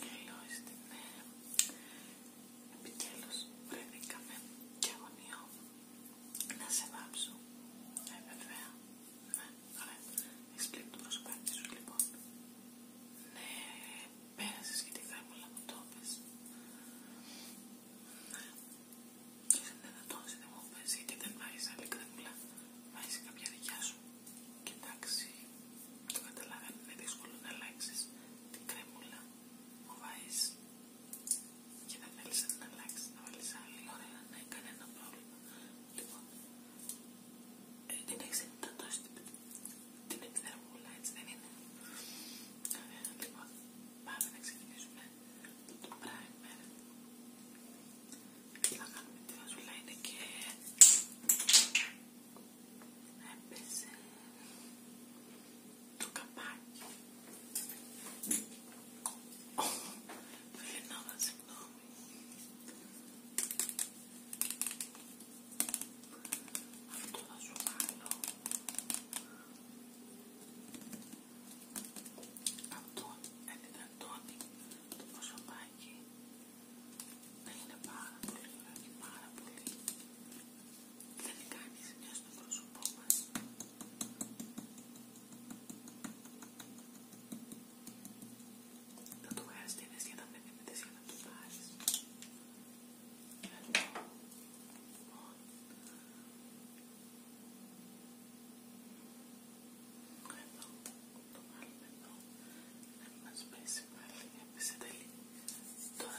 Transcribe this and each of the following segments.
Τέλος την να Επιτέλους βρεθήκαμε και γωνιό να σε βάψω. Ε, βέβαια. Ναι, ωραία. Έχεις πλήρει το σου λοιπόν. Ναι, πέρασε σχετικά μου θα που το Τόνισε δεν μου πέσει γιατί δεν μ' αλλά και δεν άλλη κρέμμουλα άρεσε κάποια δικιά σου. Και εντάξει, το καταλαβαίνω, είναι δύσκολο να αλλάξει την κρέμμουλα που βάζει και δεν θέλει να την αλλάξει, να βάλει άλλη. Ωραία, ναι, κανένα πρόβλημα. Λοιπόν, ε, την έχει ενδυνατώσει την εκθερμούλα, έτσι δεν είναι. Ωραία, λοιπόν, πάμε να ξεκινήσουμε το primer το κάνουμε και έπεσε το καπάκι Φιλινόδα, συγγνώμη αυτό θα σου βάλω αυτό ενυδατώνει το προσωπάκι. Είναι πάρα πολύ ωραίο και πάρα πολύ. Δεν κάνει ζημιά στο πρόσωπό μα. Θα του χρειαστεί για να μην μείνετε για να το λοιπόν, εδώ, το βάλουμε εδώ, να μην μας πέσει πάλι, έπεσε τελεί. Τώρα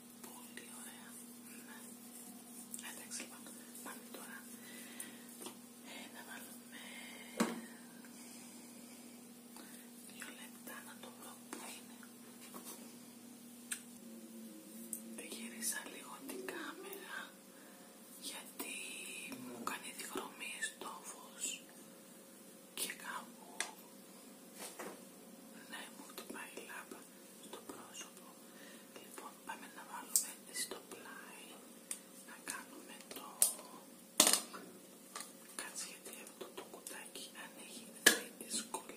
Πολύ ωραία. Ναι. Εντάξει λοιπόν, πάμε τώρα να βάλουμε δύο λεπτά να το βρω που είναι. Δε γύρισα λίγο την κάμερα γιατί μου κάνει διχρωμίες το φως και κάπου ναι μου το η λάμπα στο πρόσωπο. Λοιπόν, πάμε να βάλουμε στο πλάι να κάνουμε το. Κάτσε γιατί αυτό το κουτάκι ανοίγει δύσκολα.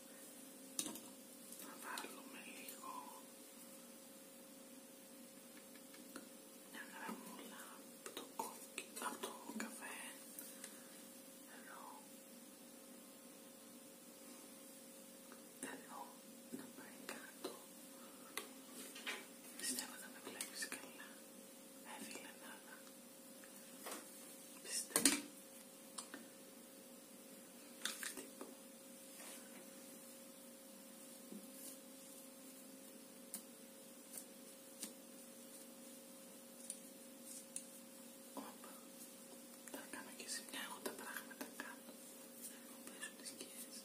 να βάλουμε λίγο μια γραμμούλα από το, κόκκι, από το καφέ ενώ ενώ να πάει κάτω πιστεύω να με βλέπεις καλά Έφυγε φίλε πιστεύω Όπα, τα κάνω και ζημιά, εγώ τα πράγματα κάνω. τις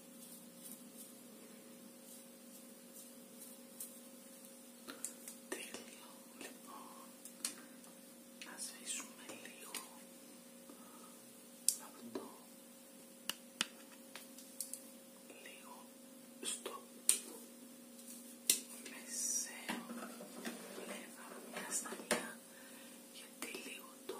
Τέλειο, λοιπόν, να σβήσουμε λίγο από το λίγο στο μεσαίο πλευρά μια σταλιά γιατί λίγο το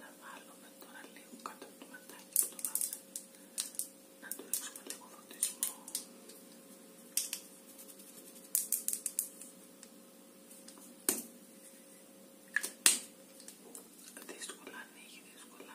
να βάλουμε τώρα λίγο κάτω από το ματάκι που το βάζουμε να του ρίξουμε λίγο φωτισμό δύσκολα ανοίγει, δύσκολα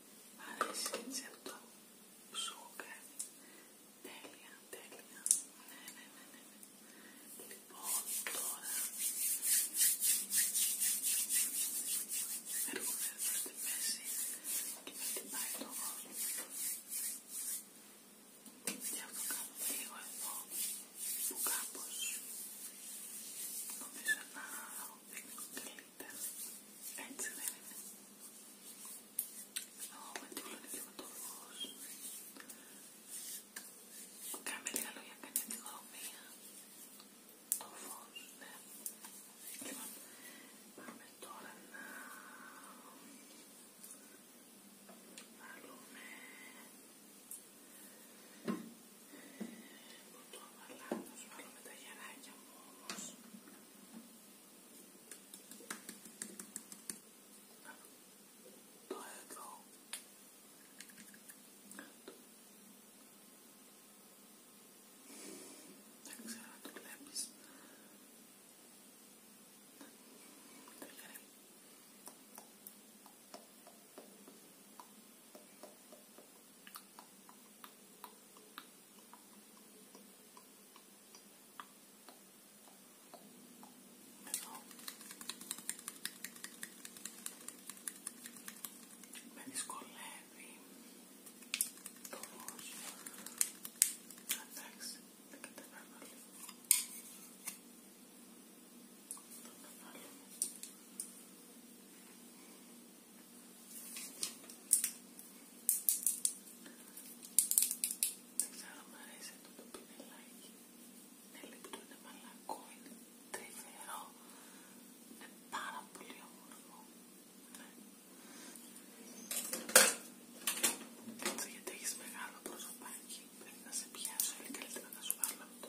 Μ' αρέσει έτσι αυτό που σου κάνει. Τέλεια, τέλεια. Ναι ναι, ναι, ναι, ναι, Λοιπόν, τώρα έρχομαι εδώ στη μέση και με χτυπάει το γόνο. Γι' αυτό κάνω λίγο εδώ που κάπως νομίζω να δείχνω τελείως. Ορίστε. Έτσι δεν είναι. Ω, με τι και με το φως. Κάμε λίγα λόγια, κάνει αντιγρομία. Το φως, ναι. Λοιπόν, πάμε τώρα να... Βάλουμε το αλλά θα σου βάλω με τα γεράκια μου όμως. Το εδώ. Δεν ξέρω αν το βλέπεις. Δεν εδώ. Με δυσκολεύει το φως. Εντάξει, δεν κατεβαίνω λίγο. Το κατεβαίνω. Δεν ξέρω μ' αρέσει αυτό το πινελάκι. Είναι λεπτό, είναι μαλακό, είναι τρυφερό. Είναι πάρα πολύ όμορφο. Ναι. Έτσι γιατί έχεις μεγάλο προσωπάκι. Πρέπει να σε πιάσω, αλλά καλύτερα να σου βάλω αυτό.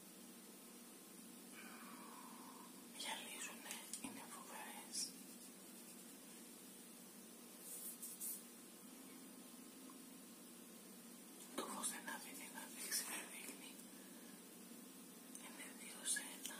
γυαλίζουνε, είναι φοβερές. Το φως δεν αφήνει να δείξει, δεν Είναι δύο σε ένα.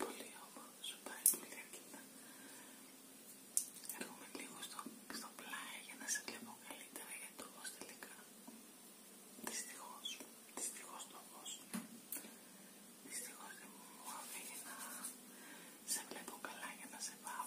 Πολύ όμω, σου πάει πολύ αρκετά. Έρχομαι λίγο στο, στο πλάι για να σε βλέπω καλύτερα γιατί το φως τελικά. Δυστυχώς, δυστυχώς το φως. Δυστυχώς δεν μου άφηγε να σε βλέπω καλά για να σε πάω.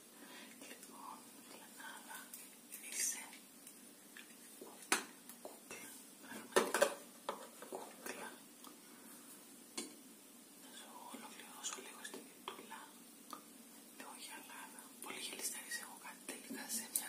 Λοιπόν, Λενάρα, ήρθε, κούκλα, πραγματικά κούκλα. Να σου ολοκληρώσω λίγο στην κοιτούλα. Λίγο γυαλάδα. Πολύ γελιστάρης έχω κάτι τελικά σε μια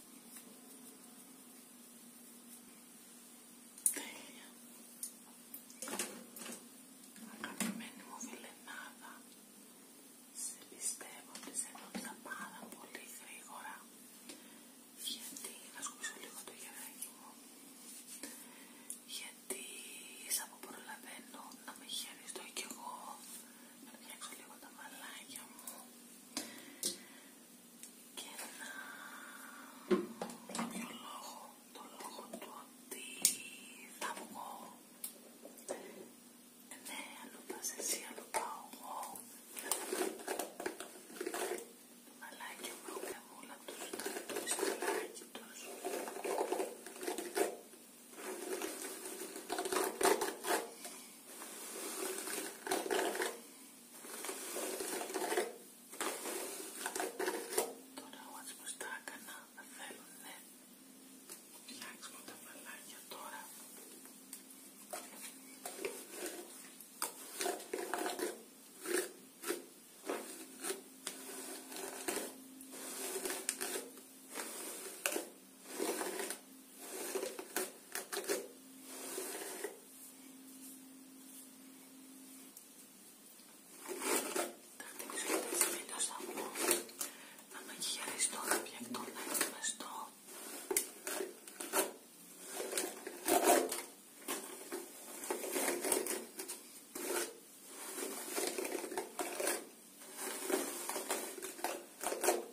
Τέλεια. Αγαπημένη μου φιλενάδα, σε πιστεύω ότι σε νόμιζα πάρα πολύ γρήγορα. Γιατί, να σκουπίσω λίγο το γεράκι μου, γιατί σαν που προλαβαίνω να με χειριστώ κι εγώ, να φτιάξω λίγο τα μαλάκια μου και να το λόγο, το λόγο του ότι θα βγω ναι, αλλού πας εσύ, αλλού πάω εγώ μαλάκι μου έχουν όλα τους, τα στολάκι τους Τώρα όλα πως τα έκανα θα θέλουν ναι. Φτιάξουμε τα βαλάκια Τώρα θα χτυπήσω και τις βίντεο σαμπού να με χειριστεί το ρεπιακτό να είναι μεστό.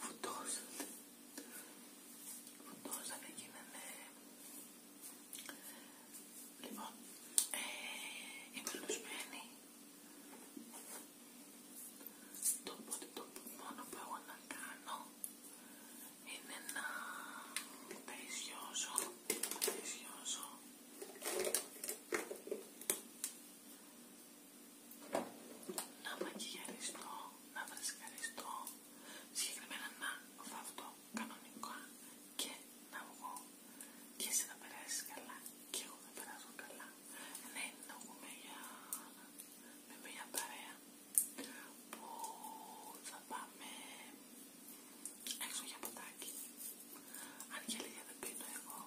Φουντώσατε. Φουντώσατε γίνανε. Λοιπόν, είμαι λουσμένη. το μόνο που έχω να κάνω είναι να περισσιώσω, περισσιώσω. να μακιγιαριστώ, να βρεσκαριστώ, συγκεκριμένα να αυτό κανονικά και να βγω και εσύ να περάσεις καλά και εγώ θα περάσω καλά. Είναι να βγω με μια παρέα που θα πάμε έξω για ποτάκι. Αν και λίγα δεν πίνω εγώ,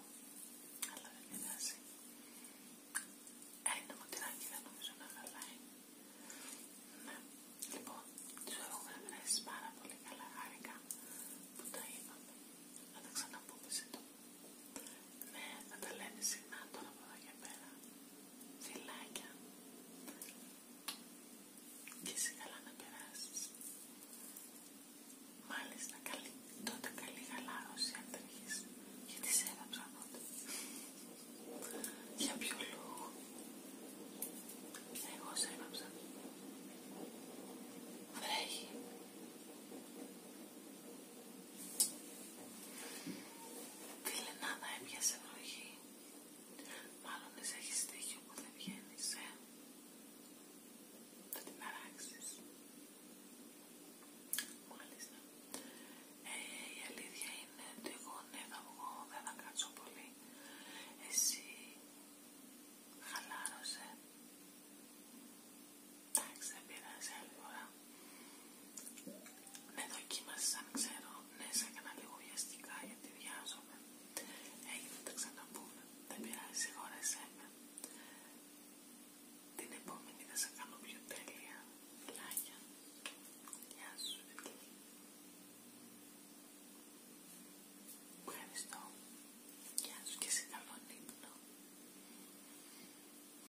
αλλά δεν πειράζει. Ένα ε, μοτυράκι δεν νομίζω να χαλάει. Ναι, λοιπόν, τους έχουμε κρατήσει πάρα πολύ καλά γάρικα που τα είπαμε. Θα τα ξαναπούμε σύντομα. Ναι, να τα λέμε συχνά τώρα από εδώ και πέρα. Φιλάκια. Και εσύ καλά να περάσεις. Μάλιστα, καλή, τότε καλή γαλάρωση αν δεν Γιατί σε έδαψα τότε. Για ποιο λόγο. Εγώ σε έδαψα. Βρέχει. Τι Λενάδα έπιασε βροχή, Μάλλον εσύ έχεις στοιχείο που δεν βγαίνεις, ε. Θα την αράξεις. Μάλιστα. Ε, η αλήθεια είναι ότι εγώ ναι θα βγω, δεν θα κάτσω πολύ. Εσύ χαλάρωσε. Εντάξει, δεν πειράζει άλλη φορά. Ναι, δοκίμασε αν ξέρω. Ναι, σε έκανα λίγο βιαστικά γιατί βιάζομαι. Έγινε, τα ξαναπούμε. Δεν πειράζει, συγχώρεσέ με. Την επόμενη θα σε κάνω πιο τέλεια. Πλάκια. Γεια σου, Βικίλη. Ευχαριστώ. Γεια σου και σε καλό ύπνο.